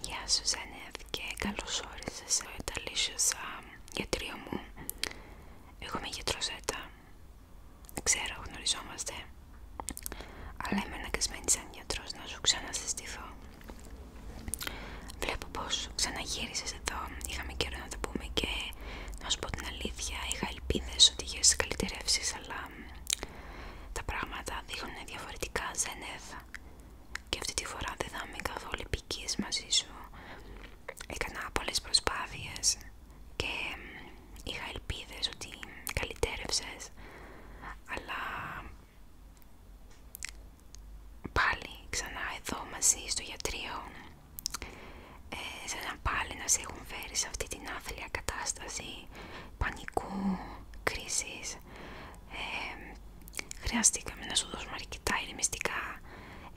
Γεια σου Ζένεθ και καλώς όρισες ε, στο σα γιατρίο μου Εγώ είμαι γιατρός Ζέτα Ξέρω γνωριζόμαστε Αλλά είμαι αναγκασμένη σαν γιατρός να σου ξανασυστηθώ Βλέπω πως ξαναγύρισες εδώ Είχαμε καιρό να τα πούμε και να σου πω την αλήθεια Είχα ελπίδες ότι είχες καλυτερεύσεις αλλά τα πράγματα δείχνουν διαφορετικά Ζένεθ και αυτή τη φορά δεν θα είμαι καθόλου μαζί σου έκανα πολλές προσπάθειες και είχα ελπίδες ότι καλυτέρευσες αλλά πάλι ξανά εδώ μαζί στο γιατρείο ε, σε σαν πάλι να σε έχουν φέρει σε αυτή την άθλια κατάσταση πανικού, κρίσης χρειαστήκαμε να σου δώσουμε αρκετά ηρεμιστικά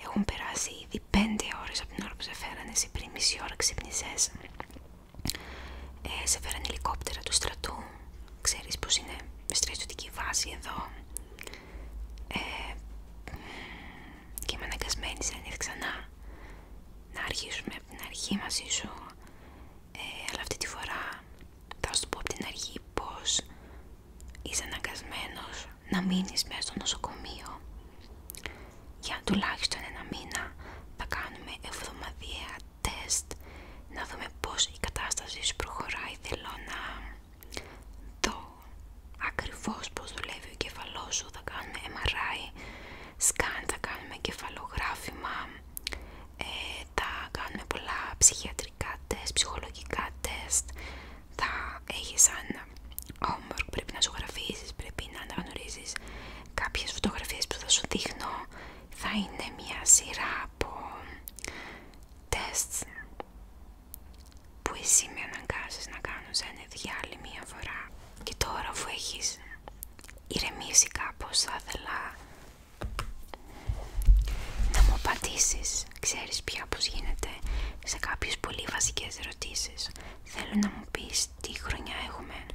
έχουν περάσει ήδη 5 ώρες από την ώρα που σε φέρανε εσύ πριν μισή ώρα ξυπνησές ε, σε φέρανε ελικόπτερα του στρατού ξέρεις πως είναι στρατιωτική βάση εδώ ε, και είμαι αναγκασμένη σε ανήθει ξανά να αρχίσουμε από την αρχή μαζί σου ε, αλλά αυτή τη φορά θα σου πω από την αρχή πως είσαι αναγκασμένος να μείνεις μέσα στο νοσοκομείο για τουλάχιστον ένα μήνα θα κάνουμε εβδομαδιαία τεστ να δούμε πως η κατάσταση σου προχωράει θέλω να δω ακριβώς πως δουλεύει ο κεφαλός σου θα κάνουμε MRI σκάν, θα κάνουμε κεφαλογράφημα ε, θα κάνουμε πολλά ψυχιατρικά τεστ, ψυχολογικά τεστ, θα έχεις ένα homework, πρέπει να σου ζωγραφίσεις, πρέπει να αναγνωρίζει κάποιες φωτογραφίες που θα σου δείχνω, θα είναι μια σειρά από τεστ που εσύ με αναγκάζεις να κάνω σε ένα διάλειμμα μία φορά και τώρα αφού έχεις ηρεμήσει κάπως θα ήθελα να μου απαντήσει, ξέρεις πια πως γίνεται σε κάποιες πολύ βασικές ερωτήσεις. Θέλω να μου πεις τι χρονιά έχουμε.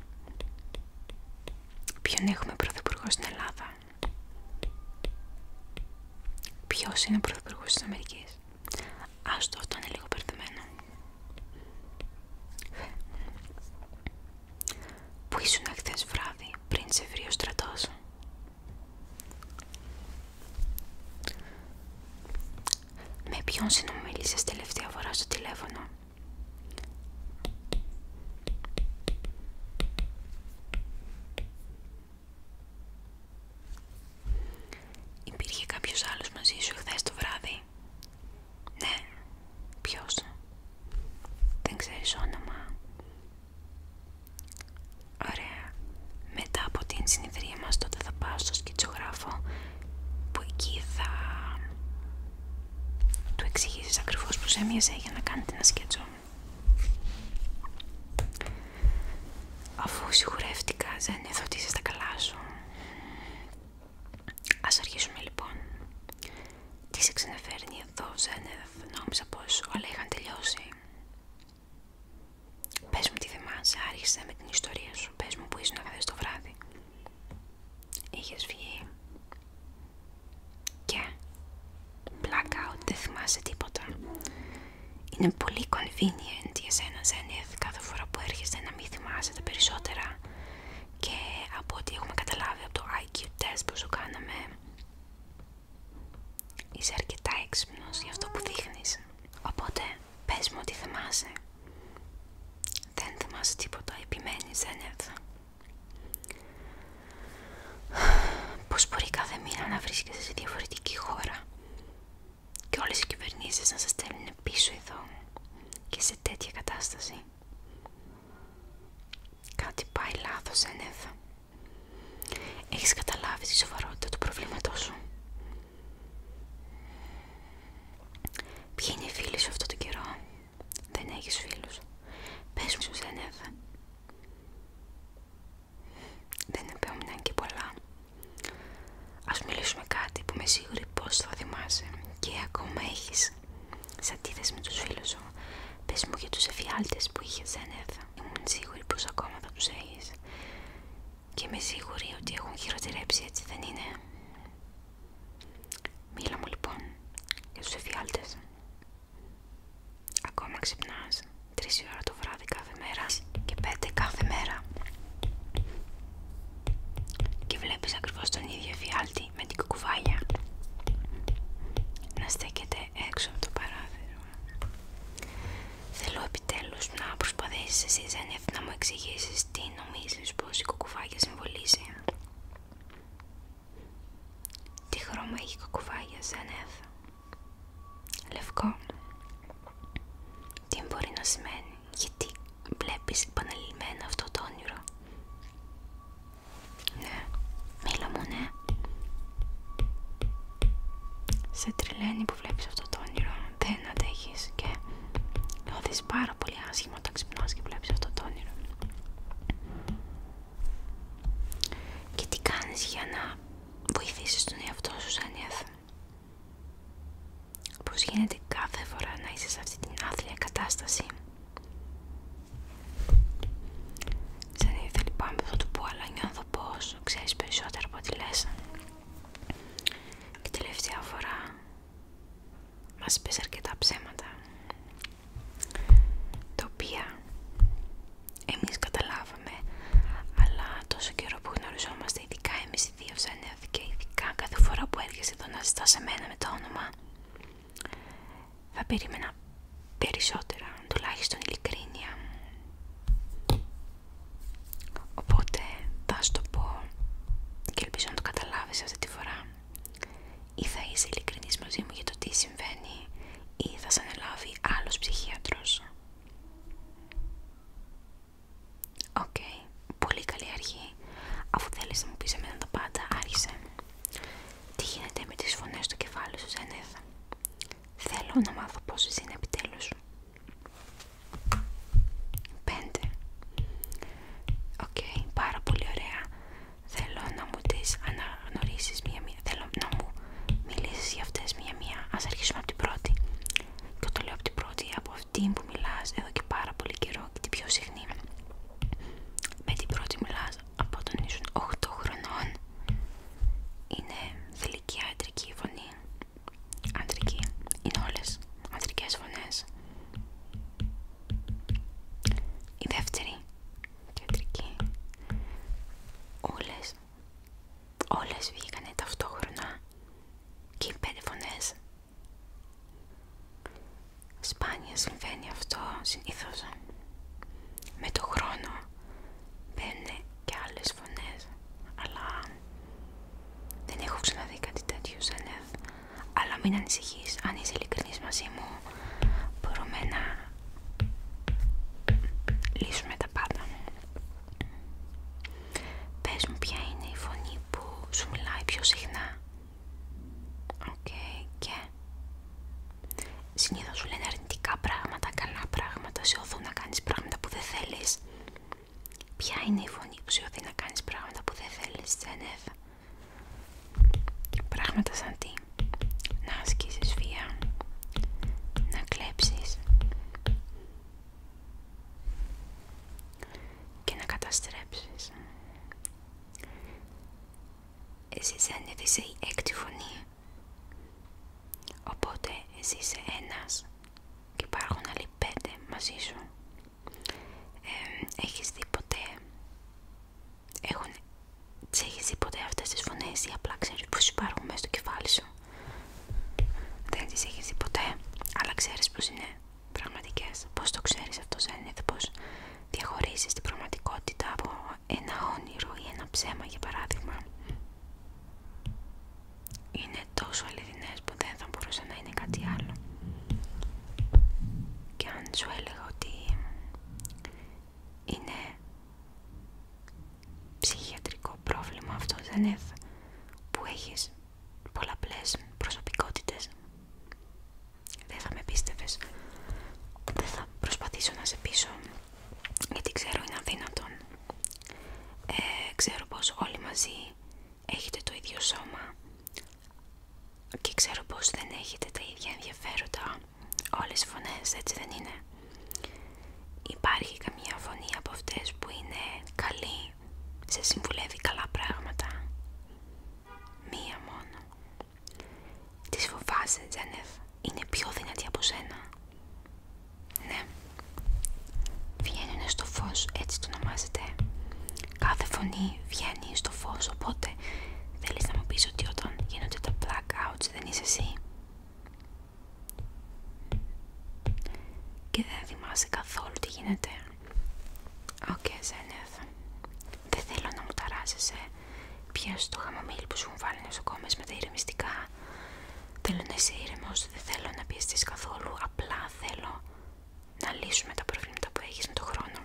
Ποιον έχουμε πρωθυπουργό στην Ελλάδα. Ποιος είναι ο πρωθυπουργός της Αμερικής. Άστο, αυτό είναι λίγο περδεμένο. Πού ήσουν χθε βράδυ πριν σε βρει ο στρατός. Με ποιον συνομίλησες τελευταία φορά στο τηλέφωνο. Υπήρχε κάποιος άλλος μαζί σου χθες το βράδυ. Ναι. Ποιος δεν ξέρεις όνομα Ωραία μετά από την συνεδρία μας τότε θα πάω στο σκητσογράφο που εκεί θα του εξηγήσει ακριβώς που σε για να κάνετε ένα σκέτσο Αφού σιγουρεύτηκα δεν ότι είσαι στα καλά σου Ας αρχίσουμε λοιπόν Τι σε ξαναφέρνει εδώ Ζένε νόμιζα πως όλα είχαν τελειώσει. Πες μου τι θυμάσαι, άρχισε με την ιστορία σου. Πες μου που ήσουν χθες το βράδυ. Είχες βγει και blackout, δεν θυμάσαι τίποτα. Είναι πολύ convenient για σένα, Zenith, κάθε φορά που έρχεσαι να μη θυμάσαι τα περισσότερα. Και από ό,τι έχουμε καταλάβει από το IQ test που σου κάναμε, Είσαι αρκετά έξυπνος για αυτό που δείχνεις. Οπότε πες μου ότι θυμάσαι. Δεν θυμάσαι τίποτα, επιμένεις, δεν Πώς μπορεί κάθε μήνα να βρίσκεσαι σε διαφορετική χώρα και όλες οι κυβερνήσεις να σας στέλνουν πίσω εδώ και σε τέτοια κατάσταση. Κάτι πάει λάθος, Ένεθα. Έχεις καταλάβει τη σοβαρότητα του προβλήματός σου. Ποιοι είναι οι φίλοι σου αυτόν τον καιρό. Δεν έχεις φίλους. Πες μου στους Δεν επέμειναν και πολλά. Ας μιλήσουμε κάτι που είμαι σίγουρη πως θα θυμάσαι. Και ακόμα έχεις σε αντίθεση με τους φίλους σου. Πες μου για τους εφιάλτες που είχε Ζένεθ. Ήμουν σίγουρη πως ακόμα θα τους έχεις. Και είμαι σίγουρη ότι έχουν χειροτερέψει, έτσι δεν είναι. Μίλα μου λοιπόν για τους εφιάλτες. Ακόμα ξυπνάς 3 ώρα το βράδυ κάθε μέρα και πέντε κάθε μέρα. Και βλέπεις ακριβώς τον ίδιο εφιάλτη με την να στέκεται έξω από το παράθυρο. Θέλω επιτέλους να προσπαθήσεις εσύ Ζένεφ να μου εξηγήσεις τι νομίζεις πως η κουκουβάγια συμβολίζει. Τι χρώμα έχει η κουκουβάγια Λευκό. Τι μπορεί να σημαίνει, γιατί βλέπεις επαναλημμένα αυτό το όνειρο. Ναι, μίλα μου, ναι. Σε τριλαίνει που βλέπεις αυτό το όνειρο, δεν αντέχεις και δει πάρα πολύ άσχημα όταν ξυπνάς και βλέπεις αυτό το όνειρο. Και τι κάνεις για να βοηθήσεις τον εαυτό σου σαν ιαθμό. Πώς γίνεται κάθε φορά να είσαι σε αυτή την άθλια κατάσταση δεν ήθελα πάμε λοιπόν που το του πω, αλλά νιώθω πως ξέρεις περισσότερο από ό,τι λες. Και τελευταία φορά μας πες αρκετά ψέματα, τα οποία εμείς καταλάβαμε, αλλά τόσο καιρό που γνωριζόμαστε, ειδικά εμείς οι δύο σαν ειδικά κάθε φορά που έρχεσαι εδώ να ζητάς μένα με το όνομα, θα περίμενα περισσότερα, τουλάχιστον ειλικρίνεια. Οπότε θα σου το πω και ελπίζω να το καταλάβεις αυτή τη φορά. Ή θα είσαι ειλικρινής μαζί μου για το τι συμβαίνει ή θα σε αναλάβει άλλος ψυχίατρος. Οκ, πολύ καλή αρχή. Αφού θέλεις να μου πεις εμένα το πάντα, άρχισε. Τι γίνεται με τις φωνές στο κεφάλι σου, ζενέθα; Θέλω να μάθω πόσες είναι επιτέλους. Πέντε. Οκ, πάρα πολύ ωραία. Θέλω να μου τις αναγνωρίσεις μία-μία. Θέλω να μου μιλήσεις για αυτές μία-μία. Ας αρχίσουμε από την πρώτη. Και το λέω από την πρώτη, από αυτή που μιλάς εδώ και πάρα πολύ καιρό και την πιο συχνή. Με την πρώτη μιλάς από όταν ήσουν 8 χρονών είναι θηλυκή αντρική φωνή αντρική, είναι όλες αντρικές φωνές η δεύτερη άντρικη, όλες όλες βγήκανε ταυτόχρονα και οι πέντε φωνές Σπάνια συμβαίνει αυτό συνήθως. Με το χρόνο μπαίνουν και άλλες φωνές, αλλά δεν έχω ξαναδεί κάτι τέτοιο σαν εθ. Αλλά μην ανησυχείς, αν είσαι ειλικρινής μαζί μου, μπορούμε να λύσουμε τα πάντα. Πες μου ποια είναι η φωνή που σου μιλάει πιο συχνά. Οκ, και Συνήθως σου λένε αρνητικά πράγματα, καλά πράγματα, σε οδού να κάνεις πράγματα που δεν θέλεις. Ποια είναι η φωνή που σε να κάνεις πράγματα που δεν θέλεις, Τζένεφ? Πράγματα σαν τι. Να ασκήσεις βία, να κλέψεις και να καταστρέψεις. Εσείς είσαι η έκτη φωνή. Οπότε εσύ είσαι ένας και υπάρχουν άλλοι πέντε μαζί σου. έχεις δει ποτέ... Έχουν... Τις δει ποτέ αυτές τις φωνές ή απλά ξέρεις πως υπάρχουν μέσα στο κεφάλι σου. Δεν τις έχεις δει ποτέ, αλλά ξέρεις πως είναι πραγματικές. Πώς το ξέρεις αυτό σαν είναι, πώς διαχωρίζεις την πραγματικότητα από ένα όνειρο ή ένα ψέμα για παράδειγμα είναι τόσο αληθινές που δεν θα μπορούσε να είναι κάτι άλλο και αν σου έλεγα ότι είναι ψυχιατρικό πρόβλημα αυτό δεν είναι που έχεις πολλαπλές προσωπικότητες δεν θα με πίστευες. Δεν θα προσπαθήσω να σε πείσω, γιατί ξέρω είναι αδύνατον. Ε, ξέρω πως όλοι μαζί έχετε το ίδιο σώμα και ξέρω πως δεν έχετε τα ίδια ενδιαφέροντα. Όλες οι φωνές έτσι δεν είναι. Υπάρχει καμία φωνή από αυτές που είναι καλή, σε συμβουλεύει καλά πράγματα Μία μόνο. Τις φοβάσαι, Τζένεφ. Είναι πιο δυνατή από σένα. Ναι. Βγαίνουν στο φως, έτσι το ονομάζεται. Κάθε φωνή βγαίνει στο φως, οπότε θέλεις να μου πεις ότι όταν γίνονται τα blackouts δεν είσαι εσύ. Και δεν θυμάσαι καθόλου τι γίνεται. Οκ, okay, δεν θέλω να μου ταράζεσαι. Πιάσου το χαμαμίλι που σου βάλει στο κόμμα με τα ηρεμιστικά. Θέλω να είσαι ήρεμο, δεν θέλω να πιεστεί καθόλου. Απλά θέλω να λύσουμε τα προβλήματα που έχει με το χρόνο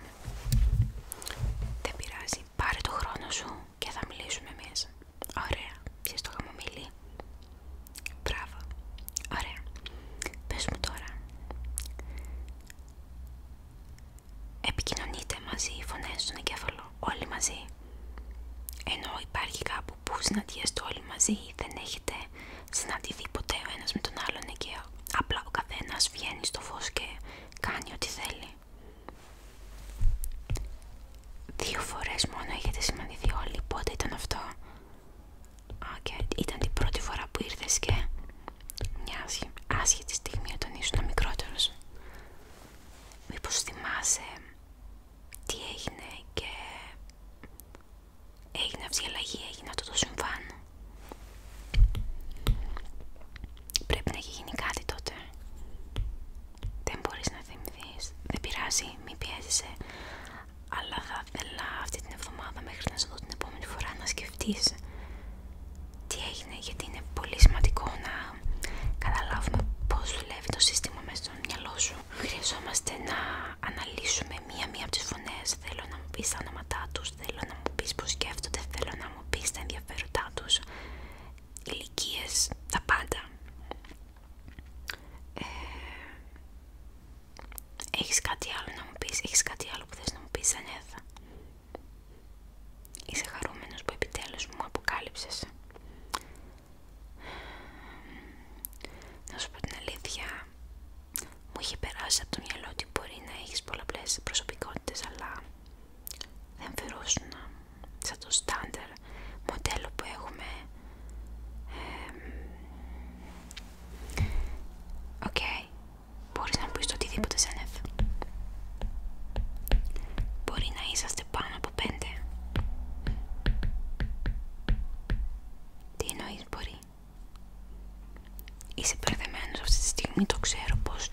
Δεν πειράζει. Πάρε το χρόνο σου και θα μιλήσουμε εμεί. Ωραία. Πιες το χαμαμίλι. Μπράβο. Ωραία. Πες μου τώρα επικοινωνείτε μαζί οι φωνές στον εγκέφαλο, όλοι μαζί. Ενώ υπάρχει κάπου που συναντιέστε όλοι μαζί, δεν έχετε συναντηθεί ποτέ ο ένας με τον άλλον εκεί. απλά ο καθένας βγαίνει στο φως και κάνει ό,τι θέλει. Δύο φορές μόνο έχετε συναντηθεί όλοι, πότε ήταν αυτό. Και Ήταν την πρώτη φορά που ήρθες και μια τη στιγμή όταν ήσουν μικρότερος. Μήπως θυμάσαι τι έγινε και έγινε αυτή η αλλαγή, έγινε αυτό το συμβάν. Πρέπει να έχει γίνει κάτι τότε. Δεν μπορείς να θυμηθείς. Δεν πειράζει, μην πιέζεσαι. Αλλά θα ήθελα αυτή την εβδομάδα μέχρι να σε δω την επόμενη φορά να σκεφτείς τι έγινε, γιατί είναι πολύ σημαντικό να καταλάβουμε πώς δουλεύει το σύστημα μέσα στο μυαλό σου. Χρειαζόμαστε να αναλύσουμε μία-μία από τις φωνές. Θέλω να μου πεις τα όνοματά τους, θέλω να μου πεις πώς σκέφτονται, θέλω να μου πεις τα ενδιαφέροντά τους, ηλικίε, τα πάντα. Έχει έχεις κάτι άλλο να μου πεις, έχεις κάτι άλλο που θες να μου πεις, Είσαι χαρούμενος που επιτέλους μου αποκάλυψες. Να σου πω την αλήθεια, μου είχε περάσει από το μυαλό ότι μπορεί να έχεις πολλαπλές προσωπικότητες, αλλά δεν φερόσουνα σαν το στάνταρ μοντέλο που έχουμε. Οκ, Μπορείς να πεις το οτιδήποτε Ζένεθ. Μπορεί να είσαστε πάνω από πέντε. Τι εννοείς μπορεί. Είσαι μπερδεμένος αυτή τη στιγμή, το ξέρω πως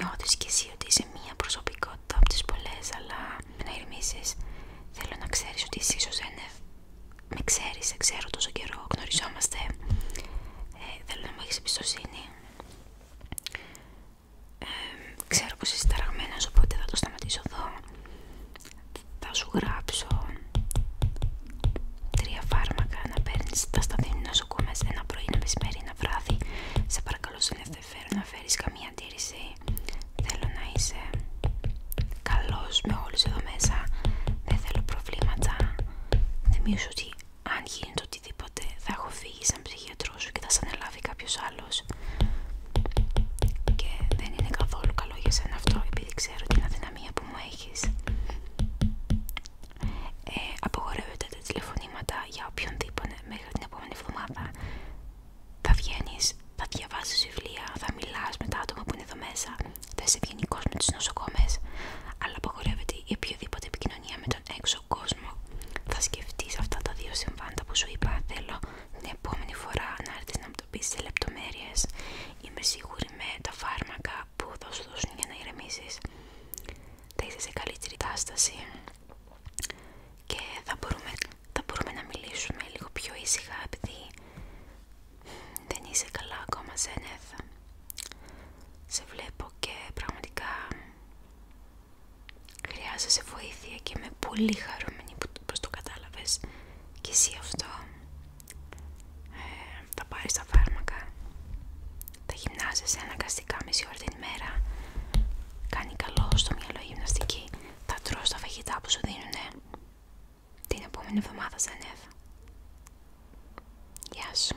νιώθεις κι εσύ ότι είσαι μία προσωπικότητα από τις πολλές, αλλά να Θέλω να ξέρεις ότι εσύ ίσως Με ξέρεις, σε ξέρω τόσο καιρό, γνωριζόμαστε. Ε, θέλω να μου έχεις εμπιστοσύνη ξέρω πως είσαι ταραγμένος οπότε θα το σταματήσω εδώ θα σου γράψω τρία φάρμακα να παίρνεις τα σταθμινή κομμες ένα πρωί, ένα μεσημέρι, ένα βράδυ σε παρακαλώ σε ενδιαφέρον να φέρεις καμία αντίρρηση θέλω να είσαι καλός με όλους εδώ μέσα δεν θέλω προβλήματα δεν ότι αν γίνεται οτιδήποτε θα έχω φύγει σαν ψυχιατρό σου και θα σε ανελάβει κάποιος άλλος και δεν είναι καθόλου καλό για σένα αυτό επειδή ξέρω την αδυναμία που μου έχεις ε, απογορεύεται τα τηλεφωνήματα για οποιονδήποτε μέχρι την επόμενη εβδομάδα θα βγαίνεις, θα διαβάζεις βιβλία, θα μιλάς με τα άτομα που είναι εδώ μέσα θα είσαι ευγενικός με τους νοσοκόμες αλλά απογορεύεται η οποιοδήποτε επικοινωνία με έξω κόσμο. Θα σκεφτείς αυτά τα δύο συμβάντα που σου είπα. Θέλω την επόμενη φορά να έρθεις να μου το πεις σε λεπτομέρειες. Είμαι σίγουρη με τα φάρμακα που θα σου δώσουν για να ηρεμήσεις. Θα είσαι σε καλύτερη κατάσταση και θα μπορούμε, θα μπορούμε να μιλήσουμε λίγο πιο ήσυχα επειδή δεν είσαι καλά ακόμα, Ζένεθ. Σε βλέπω και πραγματικά Χρειάζεσαι βοήθεια και είμαι πολύ χαρούμενη που το κατάλαβες και εσύ αυτό. Ε, θα πάρεις τα φάρμακα, θα γυμνάζεσαι αναγκαστικά μισή ώρα την ημέρα, κάνει καλό στο μυαλό γυμναστική, θα τρως τα φαγητά που σου δίνουνε. Την επόμενη εβδομάδα σαν Γεια σου.